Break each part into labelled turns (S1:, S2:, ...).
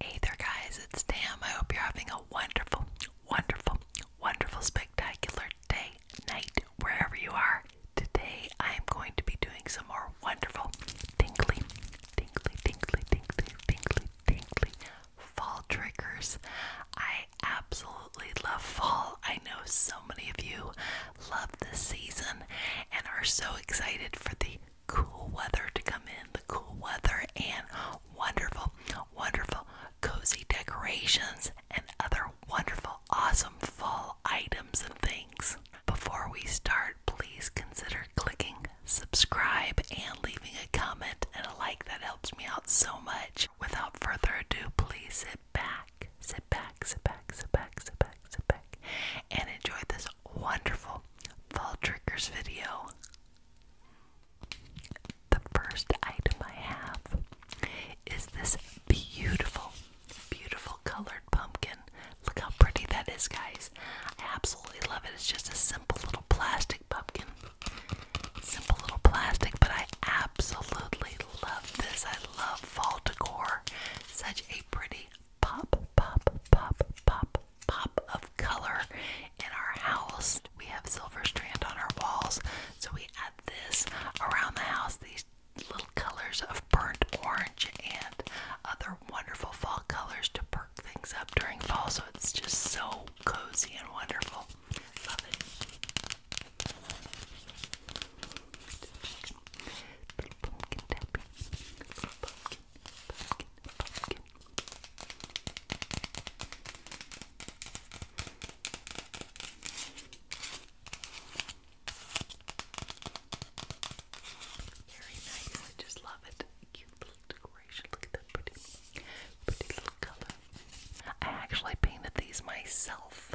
S1: Hey there, guys, it's Tam. I hope you're having a wonderful, wonderful, wonderful, spectacular day, night, wherever you are. Today, I am going to be doing some more wonderful, tingly, tingly, tingly, tingly, tingly, tingly fall triggers. I absolutely love fall. I know so many of you love this season and are so excited for the cool weather to come in, the cool weather and wonderful, wonderful cozy decorations and other wonderful, awesome fall items and things. Before we start, please consider clicking subscribe and leaving a comment and a like. That helps me out so much. Without further ado, please sit back, sit back, sit back, sit back, sit back, sit back, and enjoy this wonderful, Fall Triggers video. The first item I have is this beautiful, beautiful colored pumpkin. Look how pretty that is, guys. I absolutely love it. It's just a simple little plastic pumpkin. Simple little plastic, but I absolutely love this. I love fall decor. Such a pretty pop, pop, pop, pop, pop of color in our house. We have silver strand on our walls, so we add this around the house. These little colors of burnt orange and other wonderful fall colors to perk things up during fall, so it's just so cozy and wonderful. Love it. Little pumpkin tappy. Little pumpkin very nice. I just love it. Cute little decoration. Look at that pretty, pretty little color. I actually painted these myself.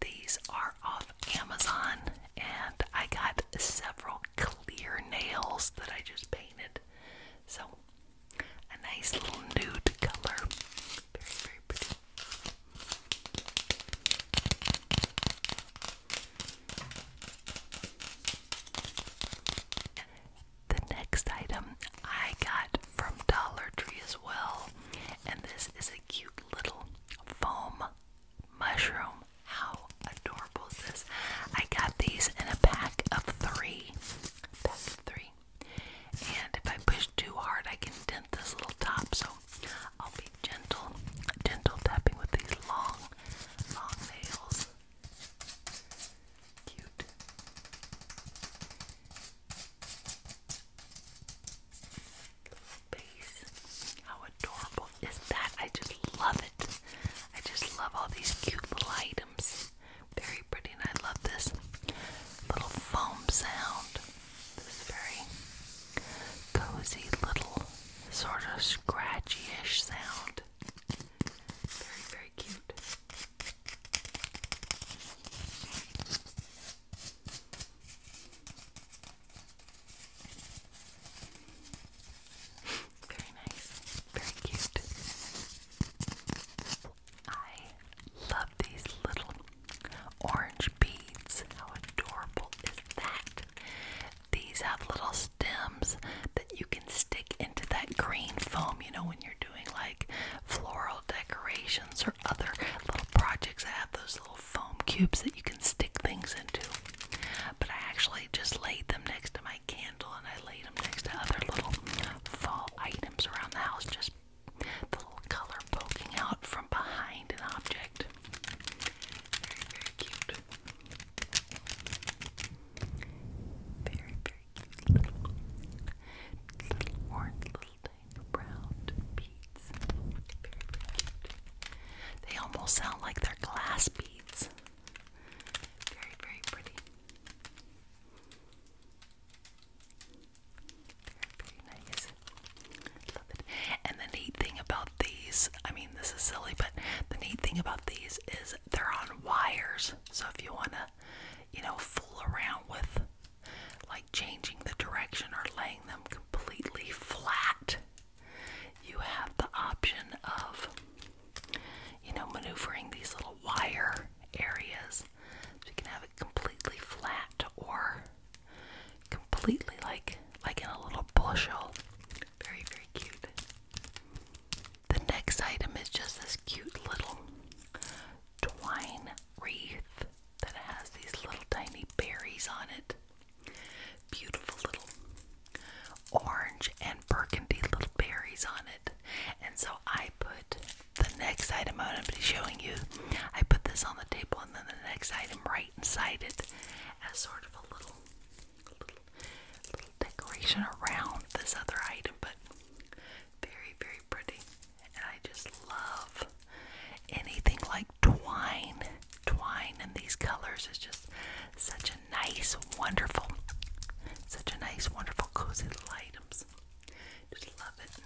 S1: These are off Amazon and I got several clear nails that I just painted. So, a nice little nude color. Very, very pretty. The next item I got from Dollar Tree as well, and this is a cute little foam mushroom how adorable is this? I got these in a pack of three. Pack of three. And if I push too hard, I can dent this little top. So I'll be gentle, gentle tapping with these long, long nails. Cute. Big how adorable is that? I just love it. I just love all these cute little items. Very pretty, and I love this little foam sound. This very cozy little sort of scratchy-ish sound. Very, very cute. Very nice. Very cute. I love these little orange beads. How adorable is that? These have little stems that you can stick into that green foam, you know, when you're doing like floral decorations or other little projects I have those little foam cubes that you can stick things into. But I actually just laid them next to my candle and I laid them next to other little fall items around the house, just the little color poking out from behind an object. Very, very cute. Very, very cute little, orange, little brown beads. Very, very cute. They almost sound like they're glass beads. Very, very pretty. Very, nice. Love it. And the neat thing about these, I mean, this is silly, but the neat thing about these is they're on wires. So if you want to, you know, fool around with like changing the direction or laying them completely flat, you have the option of, you know, maneuvering these little wire areas. So you can have it completely flat or completely like like in a little bushel. Very, very cute. The next item is just this cute little twine wreath that has these little tiny berries on it. Beautiful little orange and burgundy little berries on it. And so I put the next item I'm going to be showing you. I put this on the table and then the next item right inside it as sort of a little, little, decoration around this other item, but very, very pretty. And I just love anything like twine, twine and these colors is just such a nice, wonderful, such a nice, wonderful, cozy little items. Just love it.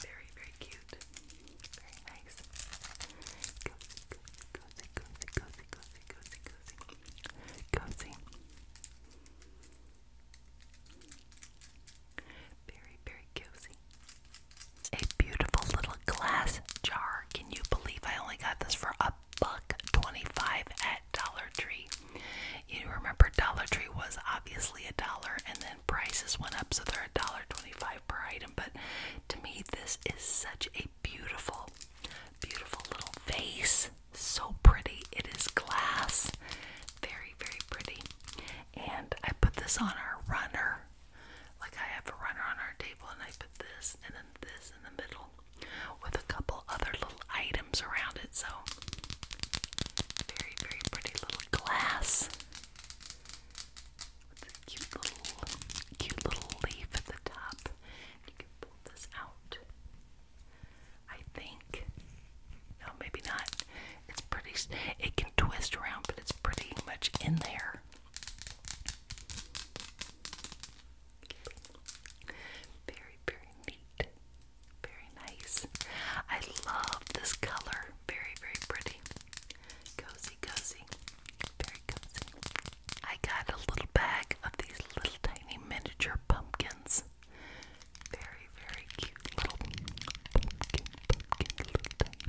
S1: Very, very cute. Very nice. Cozy, cozy, cozy, cozy, cozy, cozy, cozy, cozy. Cozy. Very, very cozy. A beautiful little glass jar. Can you believe I only got this for a buck 25 at Dollar Tree? You remember Dollar Tree was obviously a dollar and then prices went up so they're a dollar 25 per item, but to me this is such a beautiful beautiful little vase. So pretty. It is glass. Very, very pretty. And I put this on our runner. Like I have a runner on our table and I put this and then this in the middle with a couple other little items around it. So very, very pretty little glass. cute little cute little leaf at the top. You can pull this out. I think no, maybe not. It's pretty, it can twist around, but it's pretty much in there. Very, very neat. Very nice. I love this color. Very, very pretty. Cozy, cozy. Very cozy. I got a little bag of these little tiny miniature pumpkins. Very, very, cute little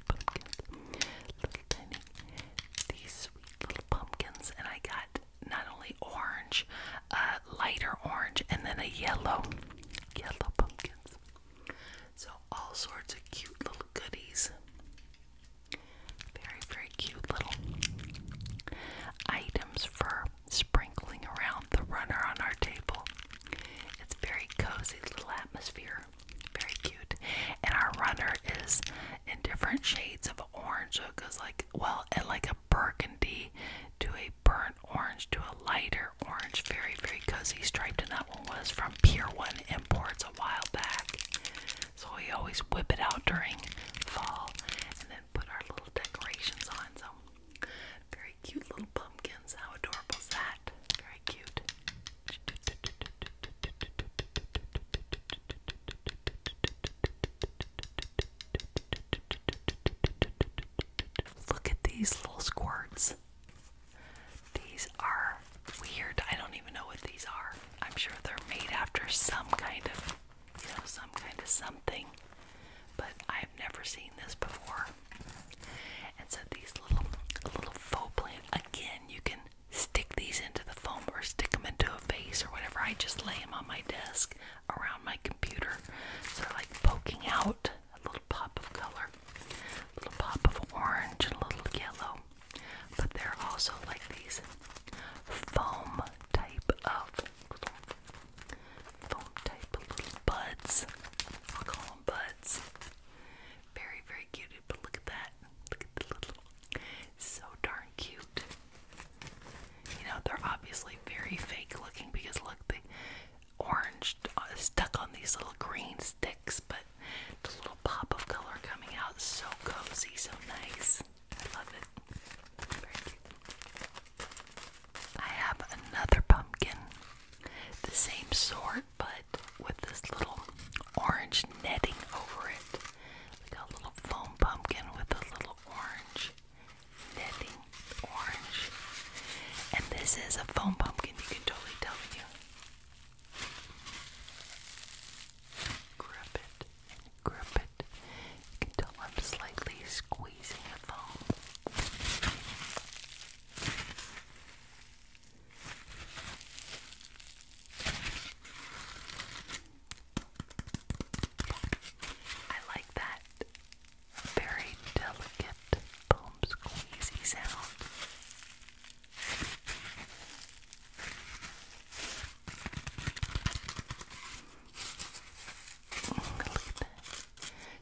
S1: pumpkins, little tiny, these sweet little pumpkins, and I got not only orange, uh, lighter orange, and then a yellow, yellow pumpkins. So all sorts of cute little goodies. Very, very cute little items for sprinkling around the runner on our table. It's very cozy little atmosphere. Very cute. And our runner is in different shades of orange. So it goes like well and like a burgundy to a burnt orange to a lighter orange. Very, very cozy striped. And that one was from Pier One Imports a while back. So we always whip it out during fall and then put our little decorations on. So very cute little pumpkins. How adorable is that? Very cute. Look at these little squirts. These are weird. I don't even know what these are. I'm sure they're made after some kind of, you know, some kind of something. But I I've never seen this before. And so these little little faux plant again, you can stick these into the foam or stick them into a vase or whatever. I just lay them on my desk around my computer, so they're like poking out a little pop of color, a little pop of orange and a little yellow. But they're also like these foam type of phone type little buds. I'll call them buds. Very, very cute. But look at that. Look at the little. So darn cute. You know, they're obviously very fake looking because look, the orange uh, stuck on these little green sticks, but the little pop of color coming out is so cozy, so nice. I love it. I have another pumpkin, the same sort, but with this little orange netting over it. got a little foam pumpkin with a little orange netting, orange. And this is a foam pumpkin, you can totally tell you. Grip it grip it. You can tell I'm slightly squeezing the foam. I like that very delicate boom squeezy sound.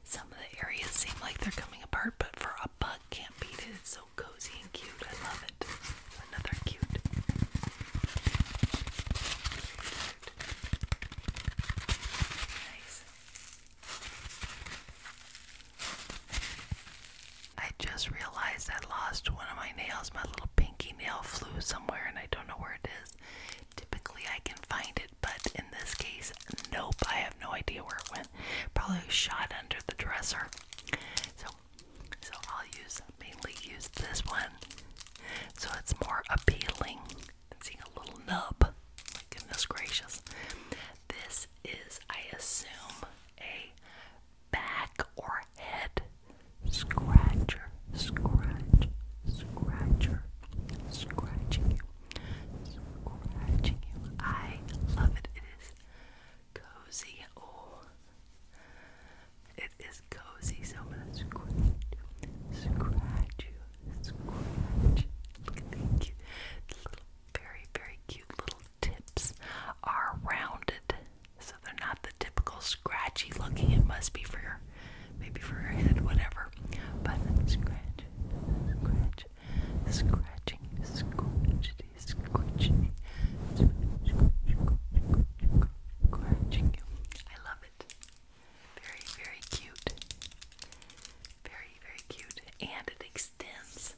S1: Some of the areas seem like they're coming apart, but for a bug, can't beat it. It's so cozy and cute. I love it. Another cute. Nice. I just realized I lost one of my nails. My little pinky nail flew somewhere and I don't know where it is. Typically, I can find it, but in this case, nope, I have no idea where it went. Probably shot under the dresser. So, so I'll use mainly use this one, so it's more appealing than seeing a little nub. My goodness gracious! This is, I assume, a back or head scratcher, scratch, scratcher, scratching you. I love it. It is cozy. Oh, it is cozy. So much. am going scratch, you, Look at the cute, little, very, very cute little tips are rounded, so they're not the typical scratchy looking. It must be for your maybe for her head, whatever. But scratch, scratch, scratching, scratchity, scratching, scratching you. I love it. Very, very cute. Very, very cute. And it extends.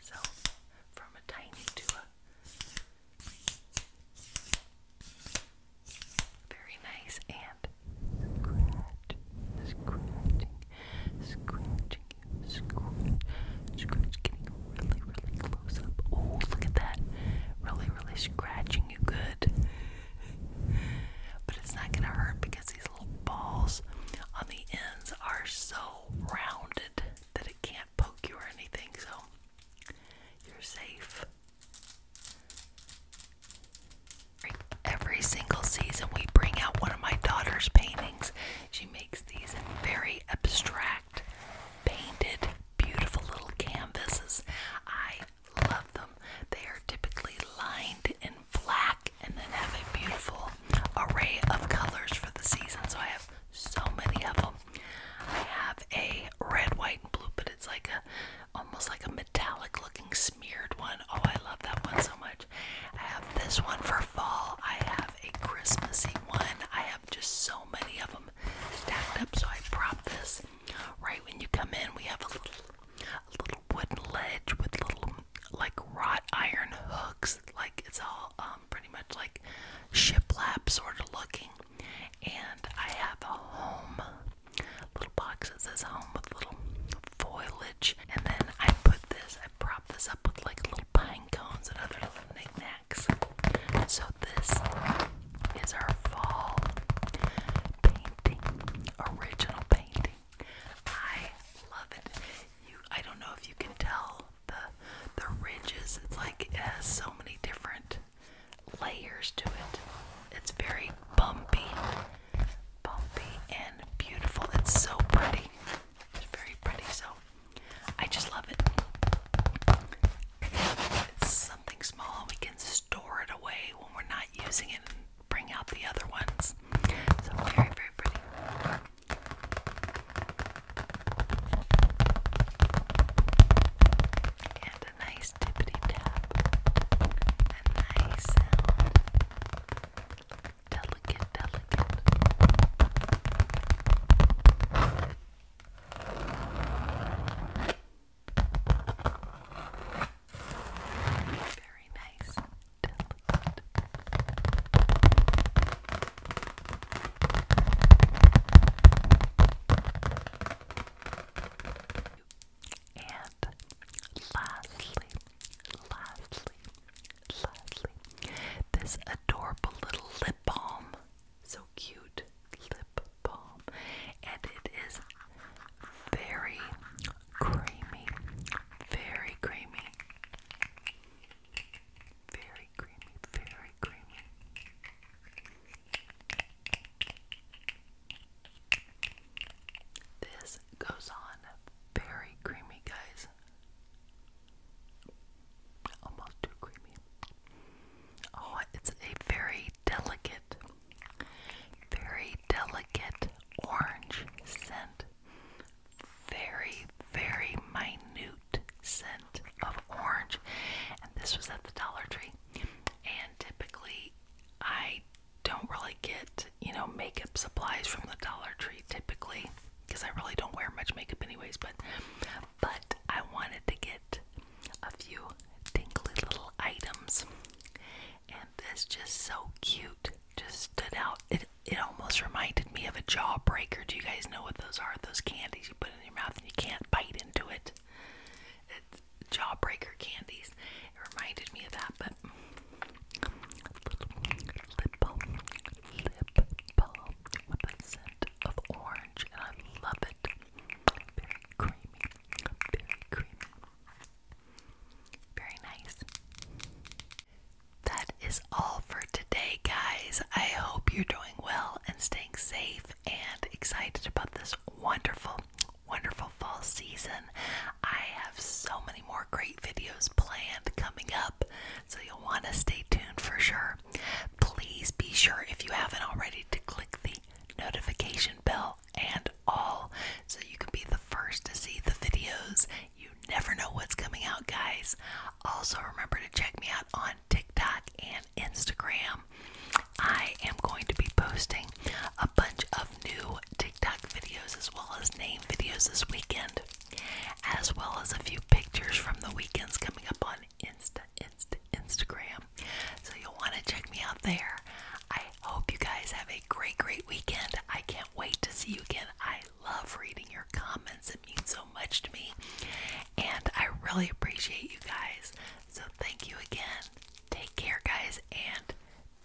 S1: So, from a tiny to a very nice. And scratch, scratching, scratching, scratch, scratch, getting really, really close up. Oh, look at that. Really, really scratching you good. But it's not going to hurt because these little balls on the ends are so rounded that it can't poke you or anything. So you're safe. Every single season, we bring out one of my daughter's paintings. She makes these very abstract, painted, beautiful little canvases. I love them. They are typically lined in black and then have a beautiful array of colors for the season. So I have so many of them. I have a red, white, and blue, but it's like a almost like a metallic looking smeared oh, I love that one so much. I have this one for fall. I have a Christmassy one. I have just so many of them stacked up. So I prop this right when you come in. We have a little, little wooden ledge with little like wrought iron hooks. Like it's all um, pretty much like shiplap sort of looking. And I have a home little boxes at says home with little foliage. And then I put this, I prop this up with like little pine cones and other little knickknacks. So this is our fall painting, original painting. I love it. You, I don't know if you can tell the the ridges. It's like it has so many different layers to it. It's very bumpy, bumpy and beautiful. It's so pretty. It's very pretty. So I just love it. It's something small. We can store it away when we're not using it and bring out the other ones. So very, very pretty a nice tippy tap, a nice sound, delicate, delicate. Very nice, delicate. And lastly, lastly, lastly, this adorable little lip balm. So cute lip balm. And it is very creamy. Very creamy. Very creamy. Very creamy. This goes on very creamy, guys. Almost too creamy. Oh, it's a very delicate, very delicate orange scent. Very, very minute scent of orange. And this was at the Dollar Tree. And typically I don't really get, you know, makeup supplies from the Dollar Tree typically because I really don't wear much makeup anyways, but but I wanted to get a few tingly little items. And this just so cute just stood out. It it almost reminded me of a jawbreaker. Do you guys know what those are? Those candies you put in your mouth and you can't bite into it. Jawbreaker candies. It reminded me of that, but lip balm, with a scent of orange, and I love it. Very creamy, very creamy, very nice. That is all for today, guys. I hope you're doing well and staying safe and excited about this wonderful, wonderful fall season. I have so many more great videos planned coming up, so you'll want to stay tuned for sure. Please be sure, if you haven't already, to click the notification bell and all so you can be the first to see the videos. You never know what's coming out, guys. Also, remember to check me out on TikTok and Instagram. I am going to be posting a bunch of new TikTok videos as well as name videos this weekend, as well as a few pictures from the weekends coming up on Insta, Instagram. So you'll want to check me out there. I hope you guys have a great, great weekend. I can't wait to see you again. I love reading your comments, it means so much to me. And I really appreciate you guys so thank you again. Take care, guys, and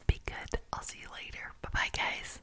S1: be good. I'll see you later. Bye bye, guys.